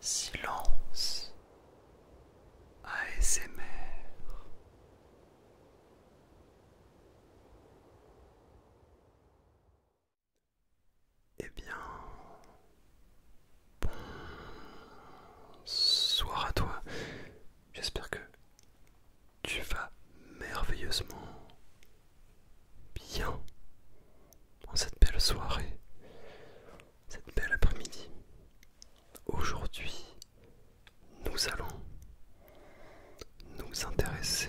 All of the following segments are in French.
Silence ASMR Eh bien, bonsoir à toi. J'espère que tu vas merveilleusement bien en cette belle soirée, cette belle après-midi. Aujourd'hui, nous allons nous intéresser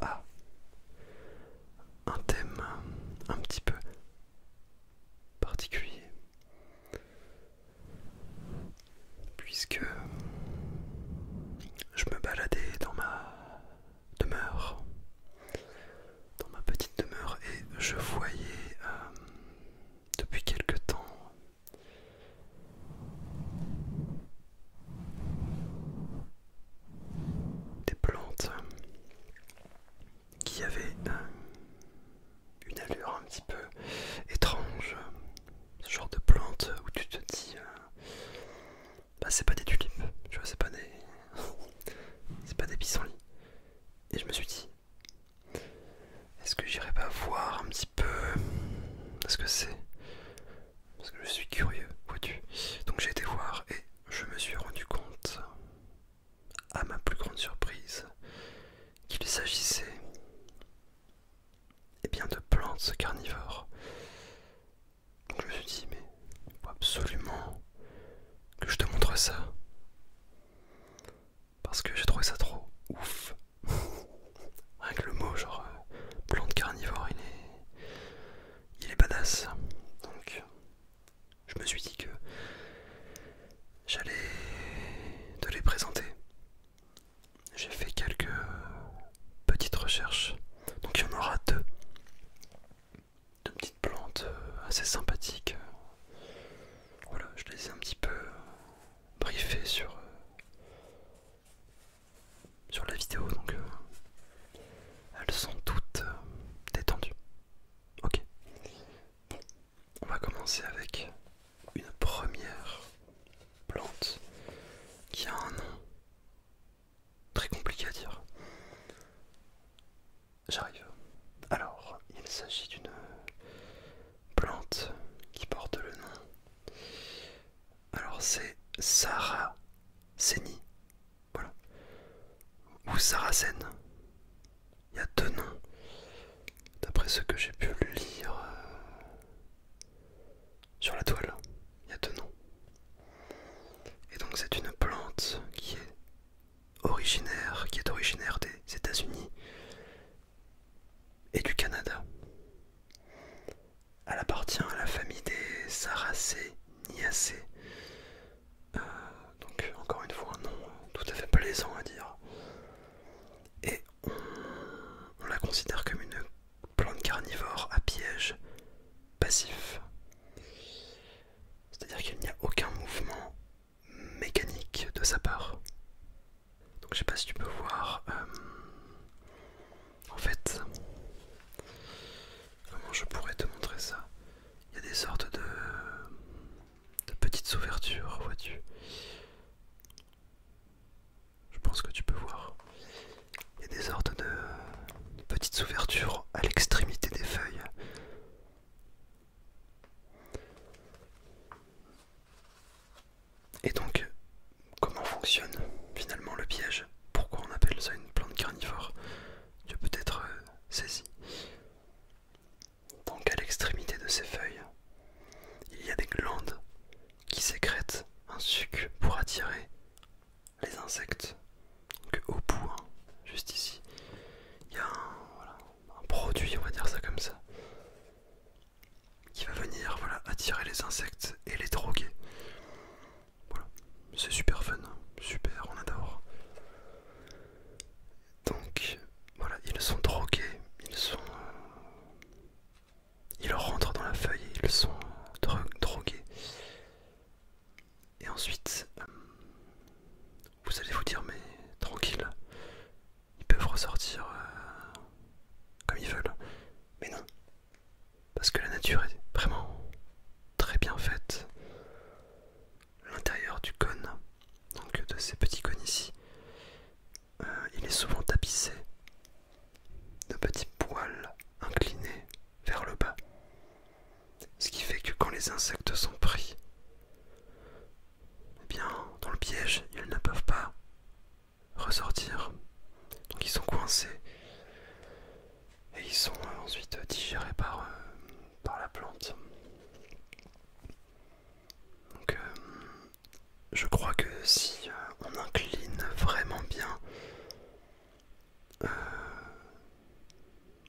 à un thème un petit peu particulier puisque je me baladais dans ma demeure, dans ma petite demeure, et je voyais euh, depuis quelque temps des plantes qui avaient euh, une allure un petit peu étrange, ce genre de plantes où tu te dis... Euh, bah c'est pas des tulipes, tu vois, c'est pas des. c'est pas des pissenlits. Et je me suis dit, est-ce que j'irai pas voir un petit peu ce que c'est Parce que je suis curieux, vois-tu. Donc j'ai été voir et je me suis rendu compte, à ma plus grande surprise, qu'il s'agissait eh bien de plantes carnivores je me suis dit, mais il faut absolument que je te montre ça. Parce que j'ai trouvé ça trop ouf. Rien que le mot, genre, euh, plante carnivore, il est, il est badass. Donc, je me suis dit que j'allais te les présenter. J'ai fait quelques Petite recherche, Donc il y en aura deux. Deux petites plantes euh, assez sympathiques. Voilà, je les ai un petit peu euh, briefées sur, euh, sur la vidéo, donc elles sont toutes détendues. Ok. on va commencer avec une première plante qui a un nom Très compliqué à dire. J'arrive. Alors, il s'agit d'une plante qui porte le nom. Alors, c'est Saraceni. Voilà. Ou Saracène. Il y a deux noms. D'après ce que j'ai pu lire euh, sur la toile. Il y a deux noms. Et donc c'est une plante qui est originaire, qui est originaire des États-Unis et du Canada. Elle appartient à la famille des Saracées, euh, donc encore une fois un nom euh, tout à fait plaisant à dire. Et on la considère comme une plante carnivore à piège passif. C'est-à-dire qu'il n'y a aucun mouvement mécanique de sa part. Donc je sais pas si tu peux voir. Euh, en fait, comment je pourrais te montrer ça Il y a des sortes de petites ouvertures, vois-tu je pense que tu peux voir. Il y a des ordres de, petites ouvertures à l'extrémité des feuilles. Et donc, comment fonctionne finalement le piège Pourquoi on appelle ça une plante carnivore Tu peux peut-être euh, saisi. Donc à l'extrémité de ces feuilles, il y a des glandes qui sécrète un sucre pour attirer les insectes. Donc au bout, hein, juste ici, il y a un, produit, on va dire ça comme ça, qui va venir voilà, attirer les insectes et les droguer. Voilà, c'est super fun, hein. super, on adore. Donc voilà, ils sont drogués, ils sont... Euh, ils rentrent dans la feuille et ils sont drogués. Et ensuite, euh, vous allez vous dire, mais tranquille, ils peuvent ressortir euh, comme ils veulent. Mais non, parce que la nature est vraiment très bien faite. L'intérieur du cône, donc de ces petits cônes ici, euh, il est souvent tapissé de petits poils inclinés vers le bas. Ce qui fait que quand les insectes sont pris, eh bien, dans le piège, ils ne peuvent pas ressortir. Donc ils sont coincés. Et ils sont ensuite digérés par, euh, la plante. Euh, je crois que si euh, on incline vraiment bien, euh,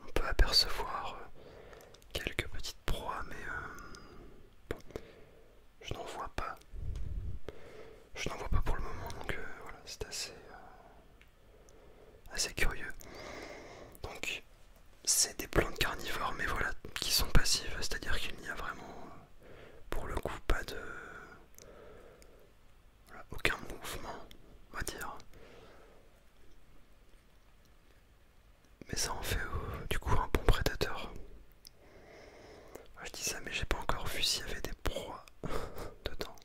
on peut apercevoir euh, quelques petites proies, mais je n'en vois pas. Je n'en vois pas pour le moment, donc c'est assez, assez curieux. Donc, c'est des plantes carnivores, mais voilà, qui sont passives, c'est-à-dire qu'il n'y a vraiment pour le coup pas de aucun mouvement on va dire mais ça en fait euh, du coup un bon prédateur je dis ça mais j'ai pas encore vu s'il y avait des proies dedans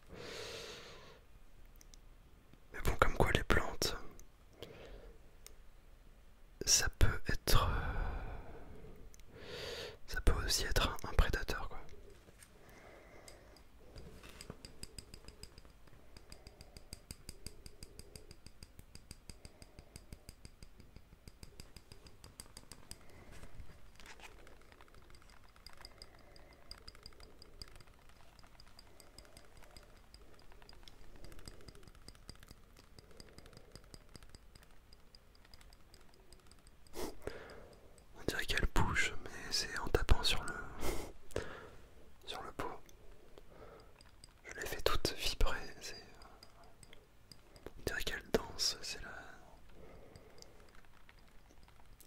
mais bon comme quoi les plantes ça peut être euh, ça peut aussi être un, prédateur quoi on dirait qu'elle bouge, mais c'est en tapant sur le sur le pot. Je les fais toute vibrer. On dirait qu'elle danse. C'est la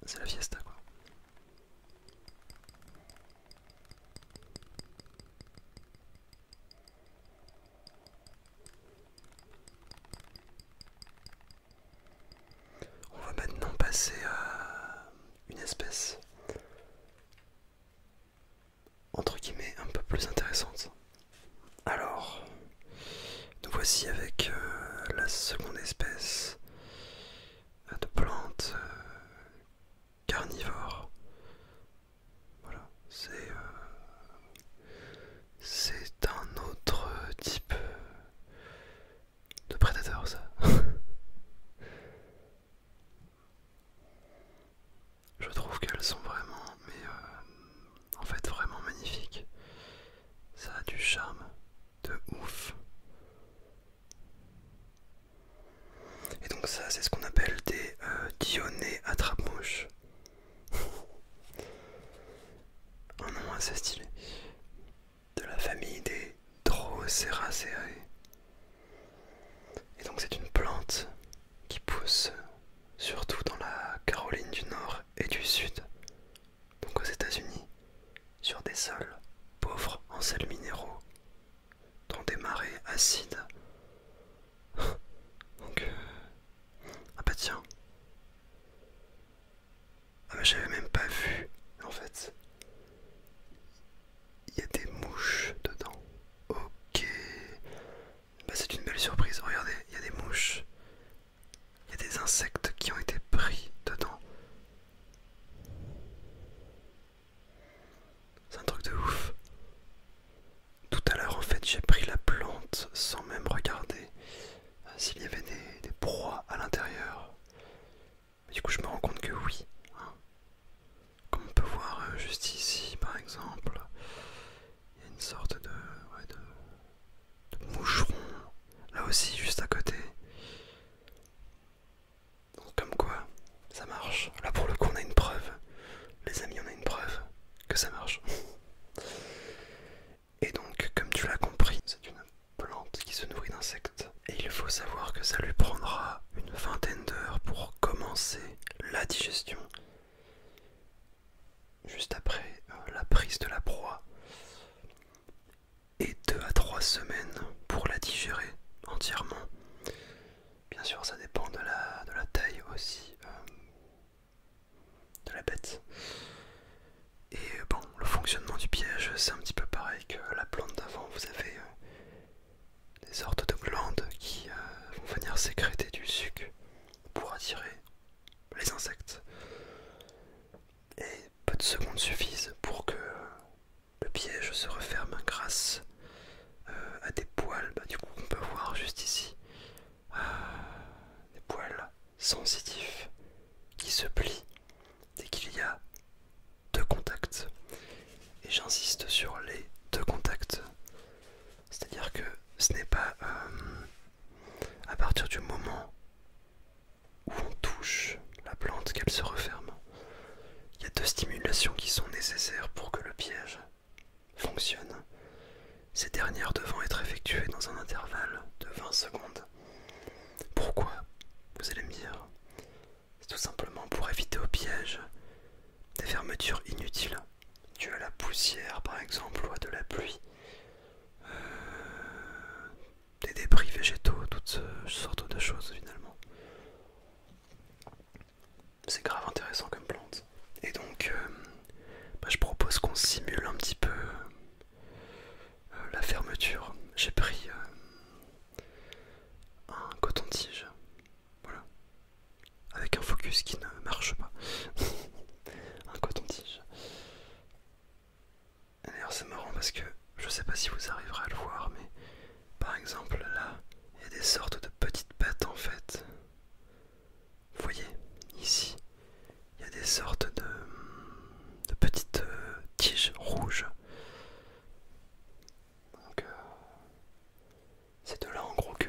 c'est la fiesta quoi. On va maintenant passer à une espèce entre guillemets un peu plus intéressante. Alors, nous voici avec euh, la seconde espèce euh, de plantes euh, carnivores. Voilà, euh, c'est un autre type de prédateur, ça. Je trouve qu'elles sont vraiment, euh, en fait vraiment magnifiques. Ça a du charme de ouf. Et donc ça c'est ce qu'on appelle des euh, dionées à attrape Un nom assez stylé. De la famille des Droseraceae. Et donc c'est une plante qui pousse surtout dans la Caroline du Nord et du Sud, donc aux États-Unis, sur des sols pauvres en sels minéraux dans des marées acides. Donc, euh, ah bah tiens, ah bah j'avais même pas vu en fait. Il y a des mouches dedans. Ok, bah c'est une belle surprise. Regardez, il y a des mouches. Il y a des insectes qui ont été pris dedans. C'est un truc de ouf. Tout à l'heure, en fait, j'ai pris la plante sans même regarder euh, s'il y avait des, proies à l'intérieur. Du coup, je me rends compte que oui. Hein. Comme on peut voir euh, juste ici, par exemple, il y a une sorte de moucheron. Là aussi, juste à côté comme quoi, ça marche. Là pour le coup on a une preuve. Les amis on a une preuve que ça marche. Et donc comme tu l'as compris, c'est une plante qui se nourrit d'insectes. Et il faut savoir que ça lui prendra une vingtaine d'heures pour commencer la digestion. Juste après euh, la prise de la proie. Et deux à trois semaines pour la digérer entièrement. Bien sûr, ça dépend de la, de la taille aussi euh, de la bête. Et euh, bon, le fonctionnement du piège, c'est un petit peu pareil que la plante d'avant. Vous avez euh, des sortes de glandes qui vont venir sécréter du sucre pour attirer les insectes. Et peu de secondes suffisent pour que le piège se referme grâce euh, à des poils, bah, du coup on peut voir juste ici, euh, des poils sensitifs qui se plient dès qu'il y a deux contacts. Et j'insiste sur les deux contacts. C'est-à-dire que ce n'est pas euh, à partir du moment où on touche la plante qu'elle se referme. Il y a deux stimulations qui sont nécessaires pour que le piège fonctionne. Ces dernières devant être effectuées dans un intervalle de 20 secondes. Pourquoi Vous allez me dire. C'est tout simplement pour éviter au piège des fermetures inutiles, dues à la poussière par exemple ou à de la pluie, euh, des débris végétaux, toutes sortes de choses finalement. C'est grave intéressant comme plante. Et donc, euh, bah, je propose qu'on simule un petit peu euh, la fermeture. J'ai pris euh, un coton-tige, voilà, avec un focus qui ne marche pas. un coton-tige. D'ailleurs, c'est marrant parce que je sais pas si vous arriverez à le voir, mais par exemple là, il y a des sortes de petites bêtes, en fait. Vous voyez, ici, il y a des sortes de, petites euh, tiges rouges. Donc, euh, c'est de là en gros que,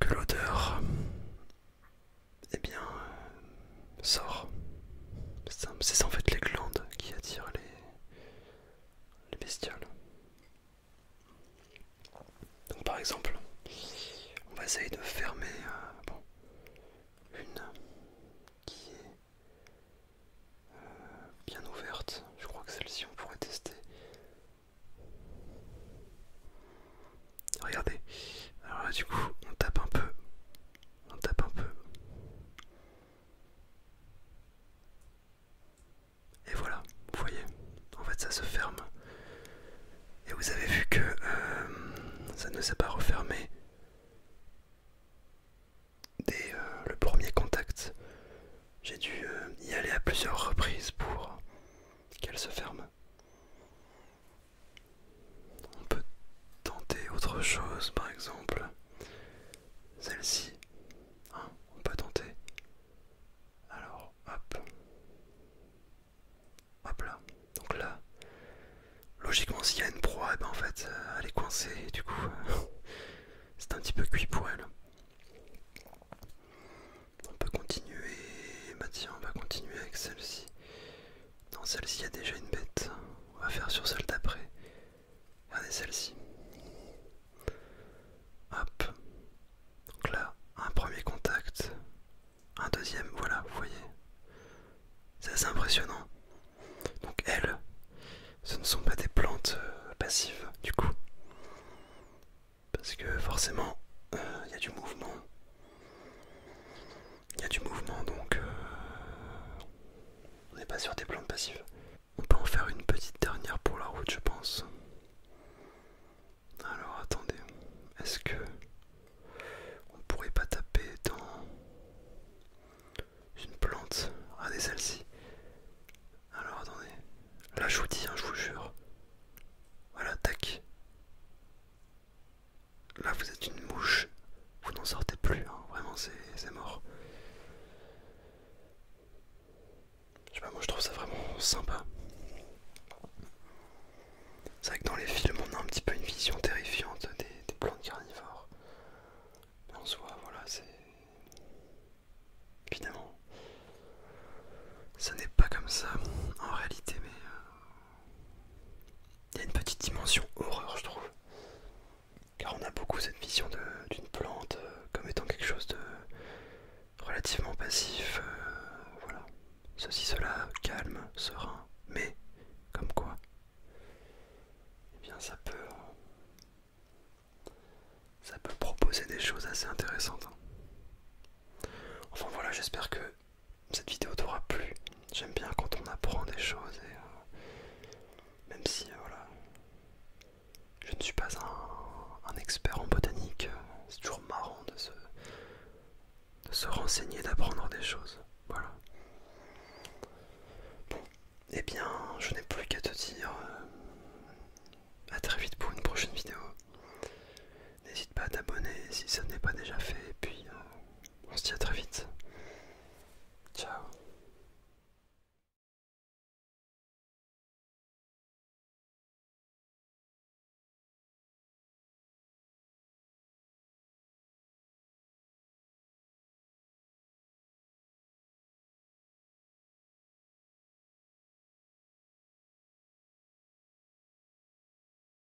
que l'odeur eh bien, euh, sort. C'est en fait les glandes qui attirent les les bestioles. Donc par exemple, on va essayer de fermer euh, une qui est euh, bien ouverte. Je crois que celle-ci on pourrait tester. Regardez, alors là du coup on tape un peu, on tape un peu, et voilà, vous voyez, en fait ça se ferme. Et vous avez vu que euh, ça ne s'est pas refermé dès euh, le premier contact. J'ai dû euh, y aller à plusieurs reprises pour qu'elle se ferme. On peut tenter autre chose, par exemple celle-ci. Hein, on peut tenter. Alors, hop. Hop là. Donc là, logiquement, s'il y a une proie, eh ben, en fait, euh, elle est coincée. du coup, c'est un petit peu cuit pour elle. On peut continuer. Bah tiens, on va continuer avec celle-ci. Dans celle-ci, il y a déjà une bête. On va faire sur celle d'après. Regardez celle-ci. Hop. Donc là, un premier contact. Un deuxième, voilà, vous voyez. C'est assez impressionnant. Donc elles, ce ne sont pas des plantes euh, passives, du coup. Parce que forcément, euh, il y a du mouvement. Il y a du mouvement donc euh, on n'est pas sur des plantes passives. On peut en faire une petite dernière pour la route je pense. Alors attendez, est-ce que on pourrait pas taper dans une plante ah, des celle-ci. Alors attendez, là je vous dis, hein, je vous jure. Voilà, tac. Là, vous êtes une mouche. Vous n'en sortez plus, hein. vraiment, c'est mort. Je sais pas, moi je trouve ça vraiment sympa. C'est vrai que dans les films, on a un petit peu une vision terrifiante des, des plantes carnivores. Mais en soi, voilà, c'est. Évidemment. Ça n'est pas comme ça en réalité, mais euh, il y a une petite dimension horreur, je trouve. Car on a beaucoup cette vision d'une plante euh, comme étant quelque chose de relativement passif. Euh, voilà. Ceci, cela, calme, serein. Mais, comme quoi, eh bien ça peut... ça peut proposer des choses assez intéressantes. Hein. Enfin voilà, j'espère que cette vidéo t'aura plu. J'aime bien quand on apprend des choses et euh, même si euh, voilà, je ne suis pas un, expert en botanique, euh, c'est toujours marrant de se, renseigner, d'apprendre des choses. Voilà. eh bien, je n'ai plus qu'à te dire à très vite pour une prochaine vidéo. N'hésite pas à t'abonner si ça n'est pas déjà fait et puis. On se dit à très vite. Ciao.